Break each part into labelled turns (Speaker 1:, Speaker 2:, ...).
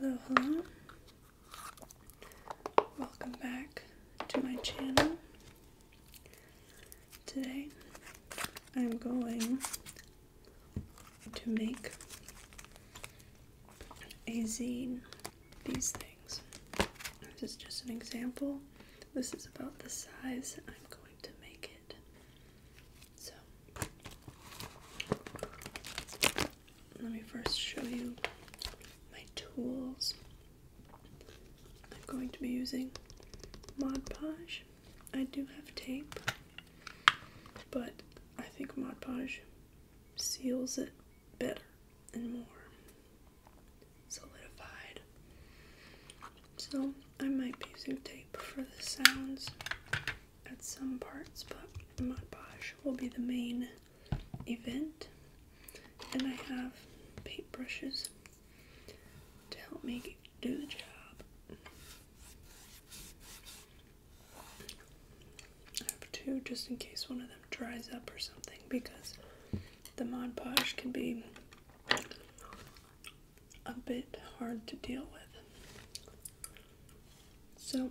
Speaker 1: Hello, hello. Welcome back to my channel. Today I'm going to make a zine. These things. This is just an example. This is about the size I'm going to make it. So let me first show you my tools. I'm going to be using Mod Podge. I do have tape, but I think Mod Podge seals it better and more solidified. So I might be using tape for the sounds at some parts, but Mod Podge will be the main event. And I have paintbrushes to help me do the job. I have two just in case one of them dries up or something because the Mod Podge can be a bit hard to deal with. So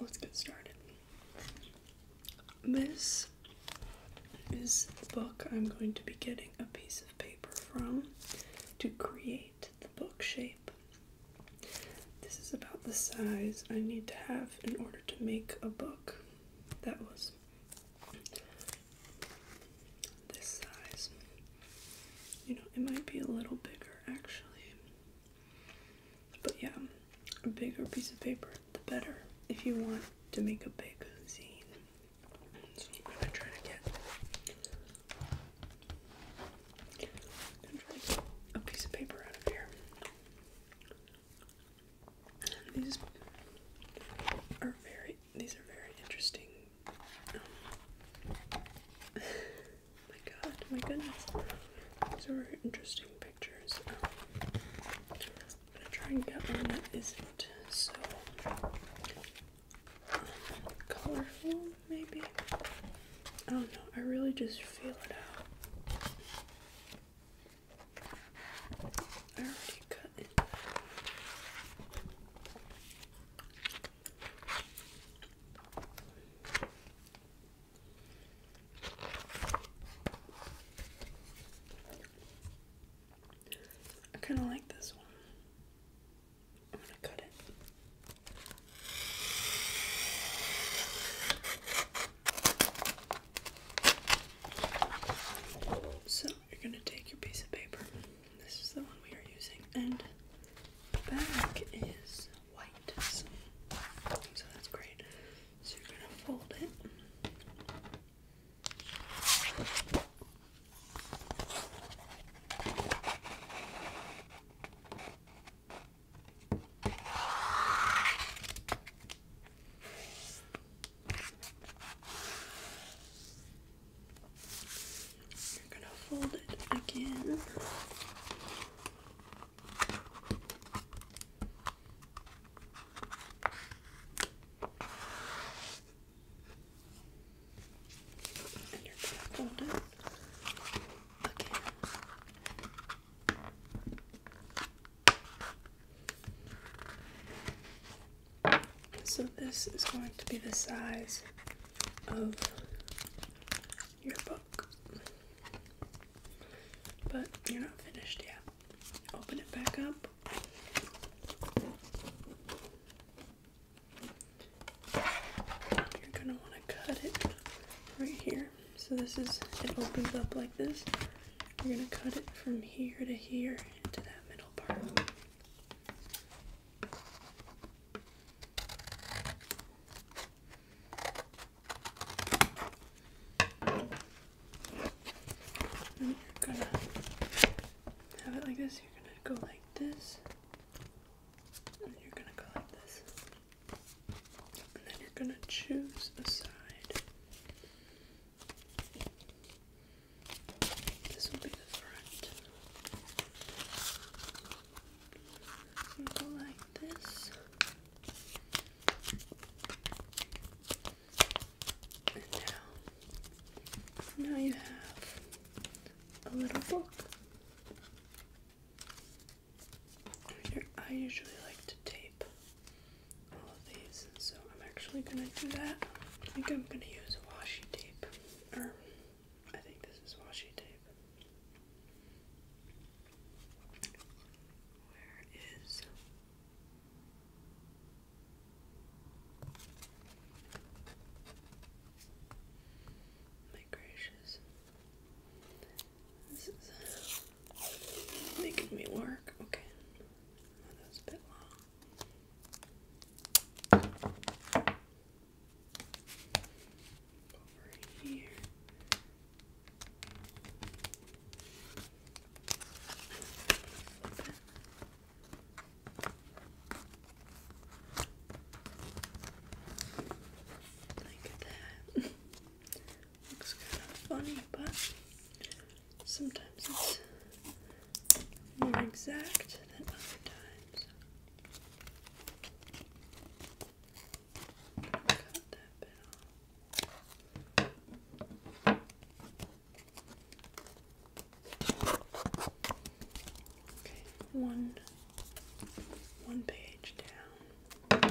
Speaker 1: let's get started. This is the book I'm going to be getting a piece of paper from to create the book shape. This is about the size I need to have in order to make a book that was this size. You know, it might be a little bigger actually. But yeah, a bigger piece of paper the better if you want to make a big zine. So I'm gonna try to get, a piece of paper out of here. These are very these are very interesting. Oh my god, my goodness. These are interesting pictures. I'm gonna try and get one that isn't so um, colorful, maybe. I don't know, I really just feel it out. I already cut I kind of like this one. I'm going to cut it. So, you're going to take your piece of paper. This is the one we are using, and the back is white. So, so that's great. So, you're going to fold it. You're going to fold it again. So this is going to be the size of your book. But you're not finished yet. Open it back up you're gonna wanna cut it right here. So this is, it opens up like this. You're gonna cut it from here to here into that middle part you're gonna have it like this. You're gonna go like this. And you're gonna go like this. And then you're gonna choose a side. This will be the front. go like this. And now, now you have a little book. I usually like to tape all of these, so I'm actually gonna do that. I think I'm gonna use washi tape, or I think this is washi tape. Where is my gracious. This is uh, making me work. Okay. that was a bit long. Over here. Look that. Looks kind of funny, but sometimes it's more exact than other times. Cut that bit one one page down.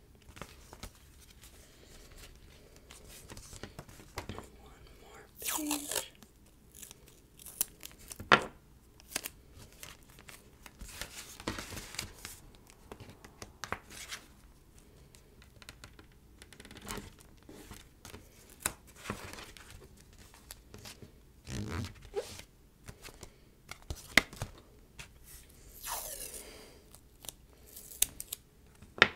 Speaker 1: One more page. All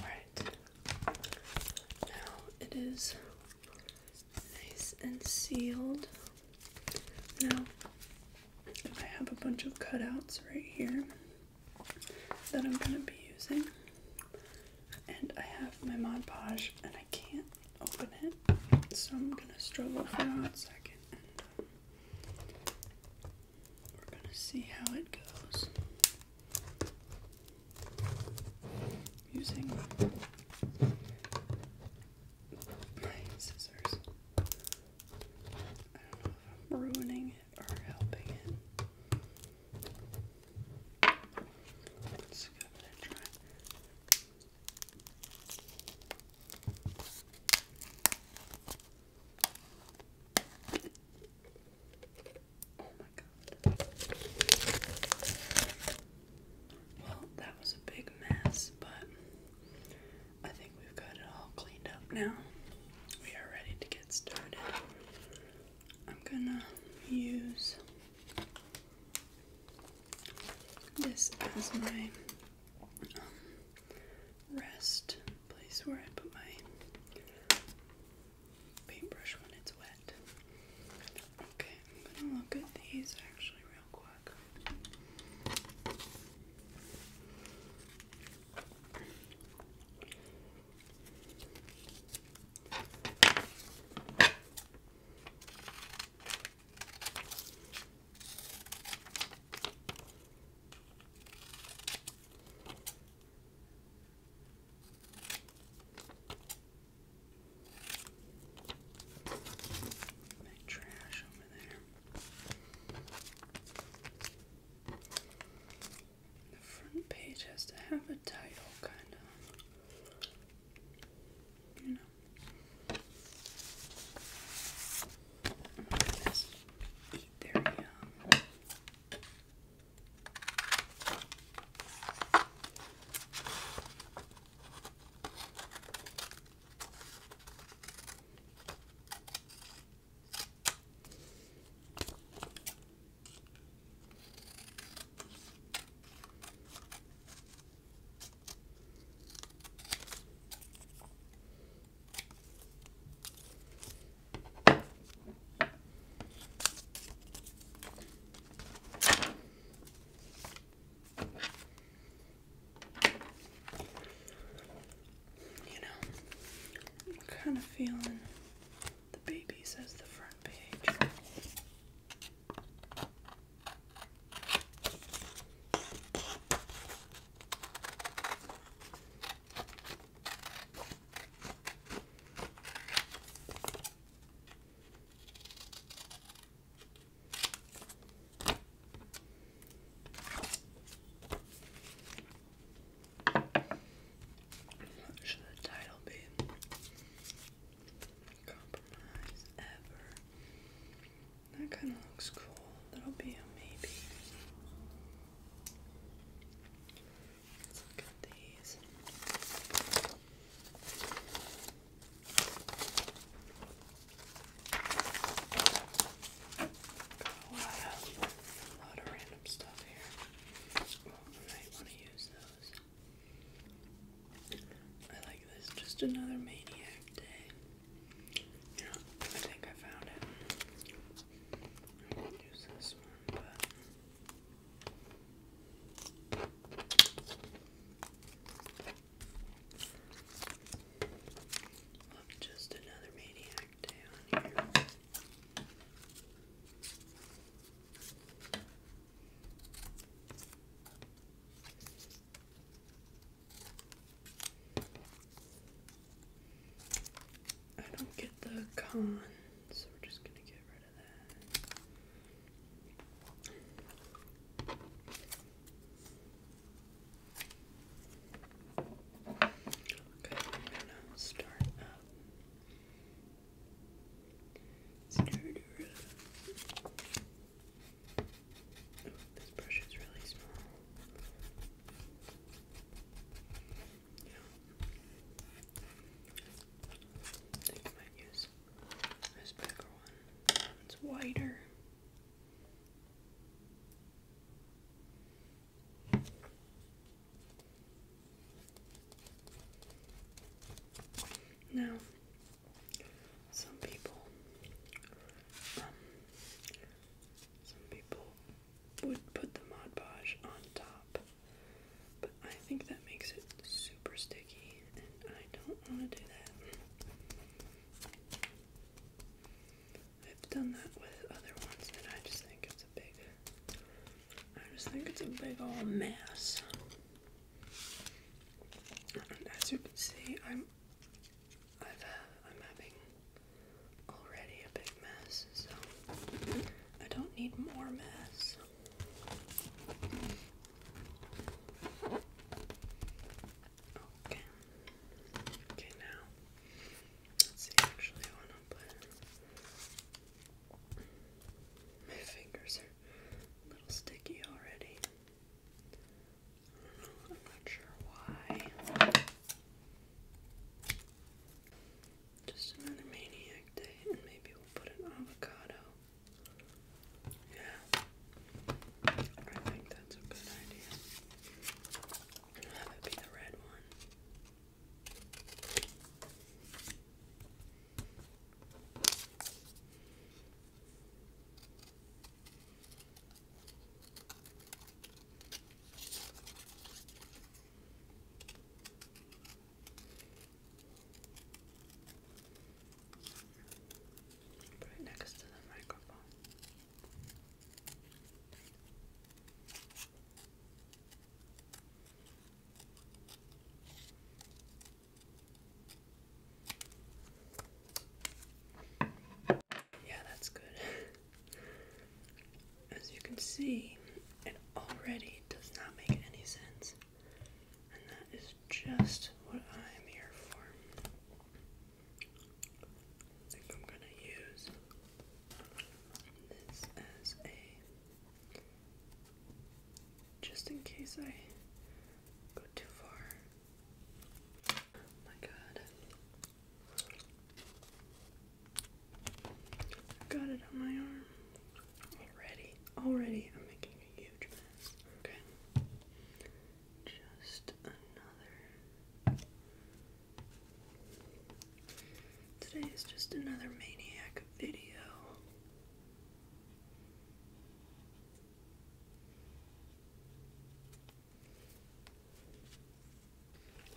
Speaker 1: right. Now it is nice and sealed. Now I have a bunch of cutouts right here that I'm going to be using. And I have my Mod Podge and I can't open it, so I'm going to struggle for a hot second. And um, we're going to see how it goes. Using my scissors. I don't know if I'm ruining it or helping it. Well, that was a big mess, but I think we've got it all cleaned up now. We are ready to get started. I'm gonna use this as my um, rest place where I put my paintbrush when it's wet. Okay, I'm gonna look at these actually real quick. That trash over there. The front page has to have a title, kind of. You know. eat their yum. You know, I'm kind of feeling the baby says the front page should the title be? That kind of looks cool. That'll be a maybe. Let's look at these. Got a a lot of random stuff here. I like this. Just another maniac day. Yeah, I think I found it. use this one, but. Look, just another maniac I don't get the con, so we're just gonna get rid of that. Okay, I'm gonna start up it's this brush is really small. I think I might use this bigger one. It's wider. Now, some people, um, some people would put the Mod Podge on top, but I think that makes it super sticky, and I don't want to do that. I've done that with other ones that I just think it's. I just think it's a big old mess. as you can see, I'm, I've, uh, I'm having already a big mess, so I don't need more mess. Okay. Okay, now let's Actually, want to put my fingers are a little sticky already. I don't know, I'm not sure why. Just another maniac day, and maybe we'll put an avocado. Yeah. I think that's a good idea. have it be the red one. Put it next to the microphone. Yeah, that's good. As you can see, it already does not make any sense. And that is just what I'm here for. think I'm gonna use this as a just in case I go too far. Oh my god. I got it on my arm. Already. Already I'm making a huge mess. Okay. Just another Today is just another maniac video.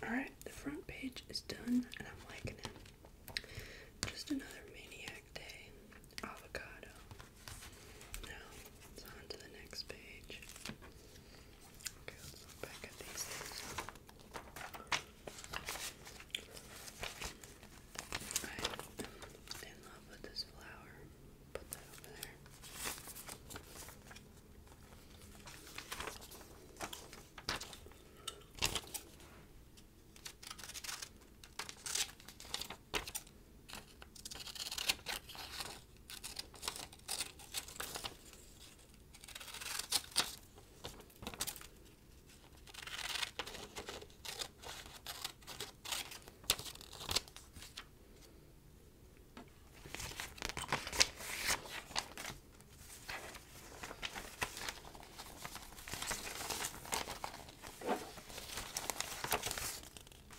Speaker 1: Alright, the front page is done and I'm liking it. Just another maniac day. Avocado. Now, it's on to the next page. Okay, let's look back at these things. I'm in love with this flower. Put that over there.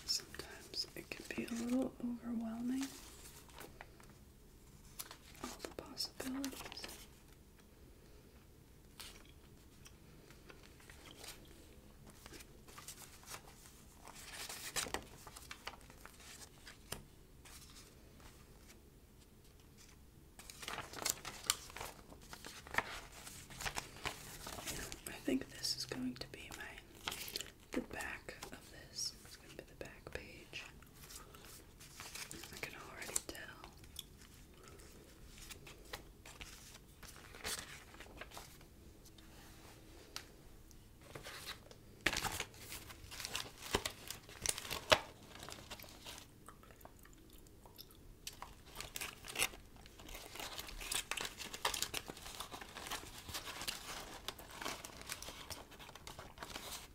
Speaker 1: Sometimes it can be a little overwhelming, all the possibilities. I think this is going to be my the back of this. It's going to be the back page. I can already tell.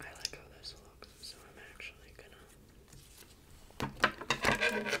Speaker 1: I like how this looks, so I'm actually gonna put it down.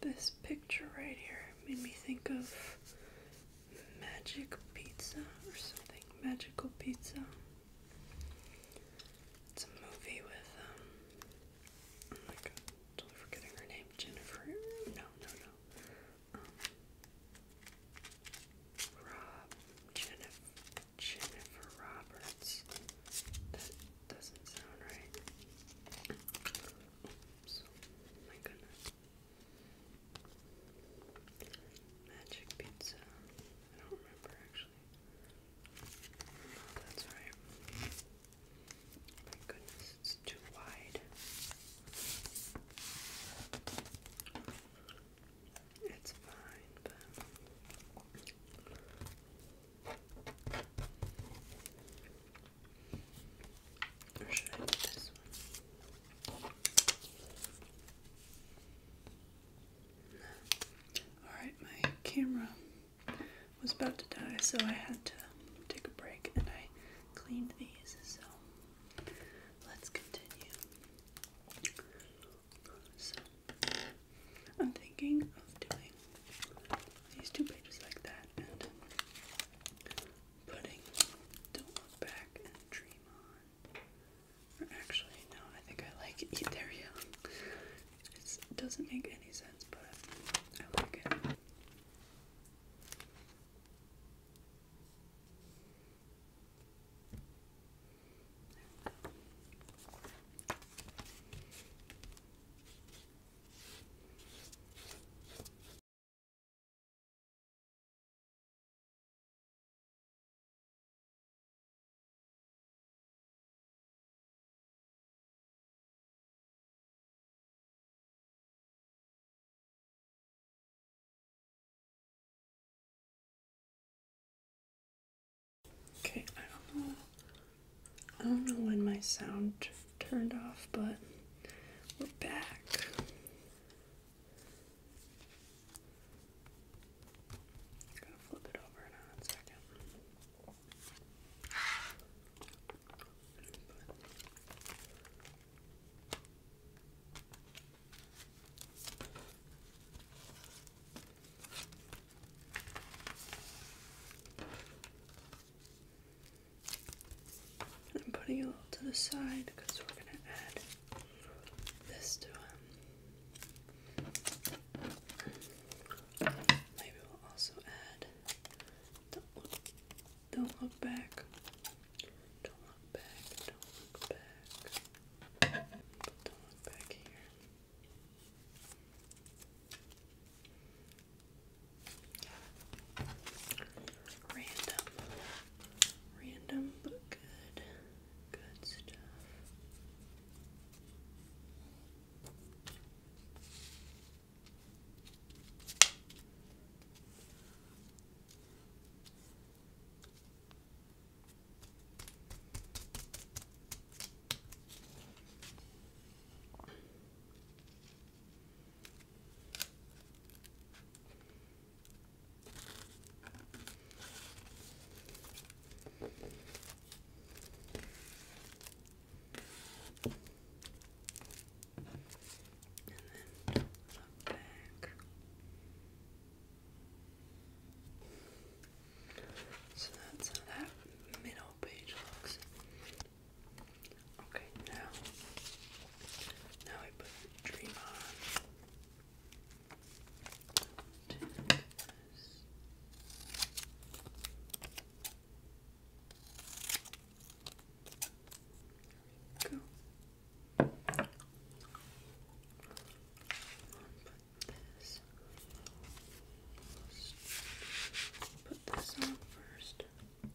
Speaker 1: This picture right here made me think of magic pizza or something. Magical pizza. It's a movie with um I'm oh like totally forgetting her name. Jennifer no no no. Um Rob Jennifer Jennifer Roberts. That doesn't sound right. Oh my goodness. Magic pizza. I don't remember actually. Oh, that's right. My goodness, it's too wide. It's fine, but Alright, my camera was about to die, so I had to take a break and I cleaned these, so let's continue. So, I'm thinking of doing these two pages like that and putting Don't Look Back and Dream on. Or actually, no, I think I like Etheria. It doesn't make any sense, but I like it. Okay, I don't know I don't know when my sound turned off, but we're back. i gonna flip it over in a second. I'm putting it a little to the side because we're going to add this to it. Um, maybe we'll also add don't look back. Don't look back. Don't look back. Don't look back here. Random, random but good stuff. So that's how that middle page looks. Okay, now, now I put Dream on. Go. Put this. Put this on first.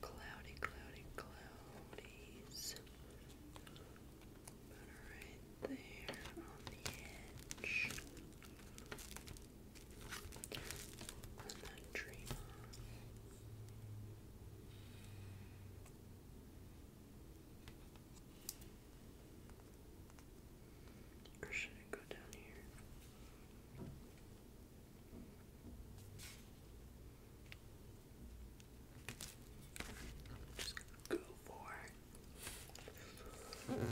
Speaker 1: Cloudy, cloudy, cloudies. About right there on the edge. And then dream Or should it go down here? Just go for it. Okay,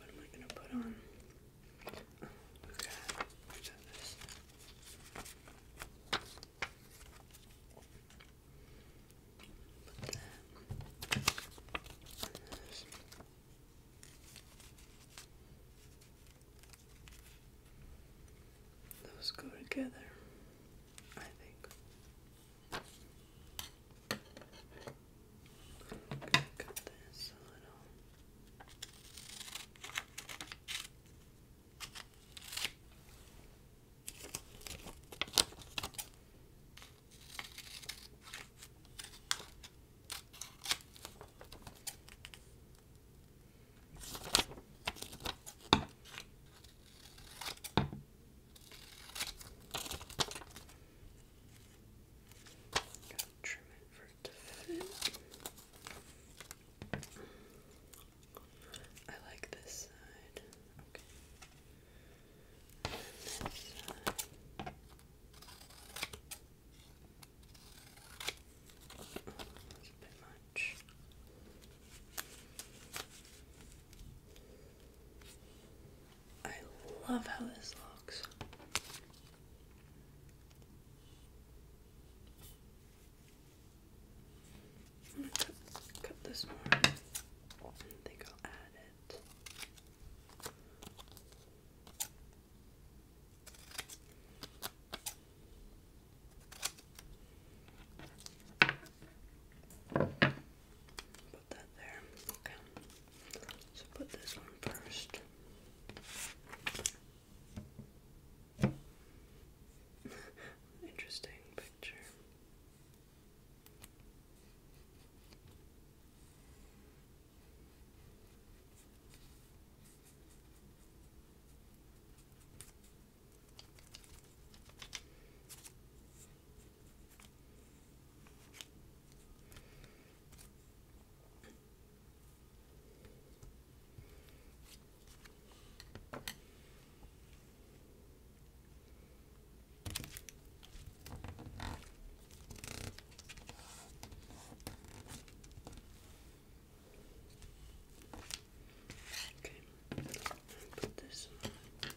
Speaker 1: what am I gonna put on? Oh, okay, this. Those go together, I think. cut this a little. Gotta trim it for it to fit. I like this side. Okay. this side. Oh, a bit much. I love how this looks. I'm gonna cut, this one. I think I'll add it. Put that there. Okay. So put this one first. Interesting picture. Okay, put this on. Okay.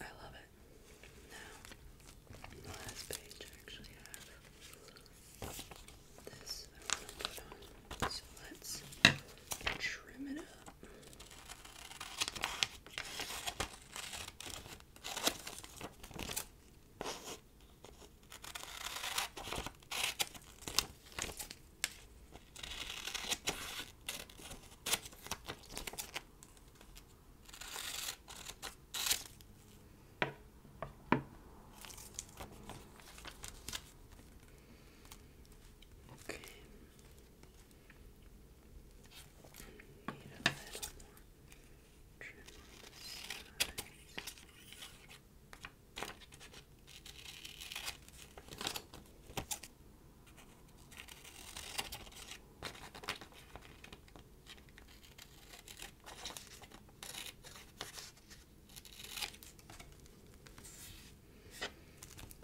Speaker 1: I love it. Now, the last page actually have this I want to put on. So let's trim it up. Okay. Need a little more trim on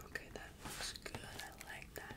Speaker 1: Okay, that looks good. I like that.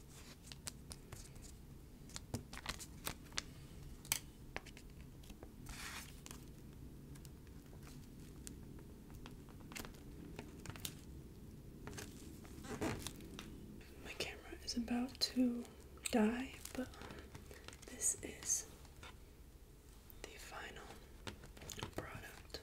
Speaker 1: My camera is about to die, but this is the final product.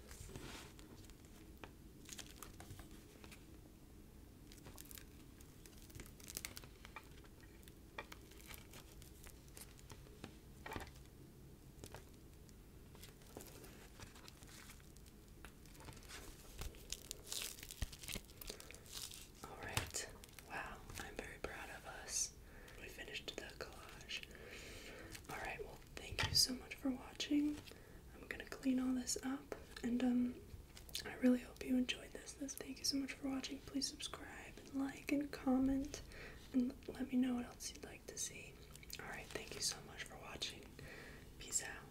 Speaker 1: All right. Wow, I'm very proud of us. We finished the collage. All right, well, thank you so much for watching. I'm gonna clean all this up, and um, I really hope you enjoyed this. this. Thank you so much for watching. Please subscribe and like and comment, and let me know what else you'd like to see. All right, thank you so much for watching. Peace out.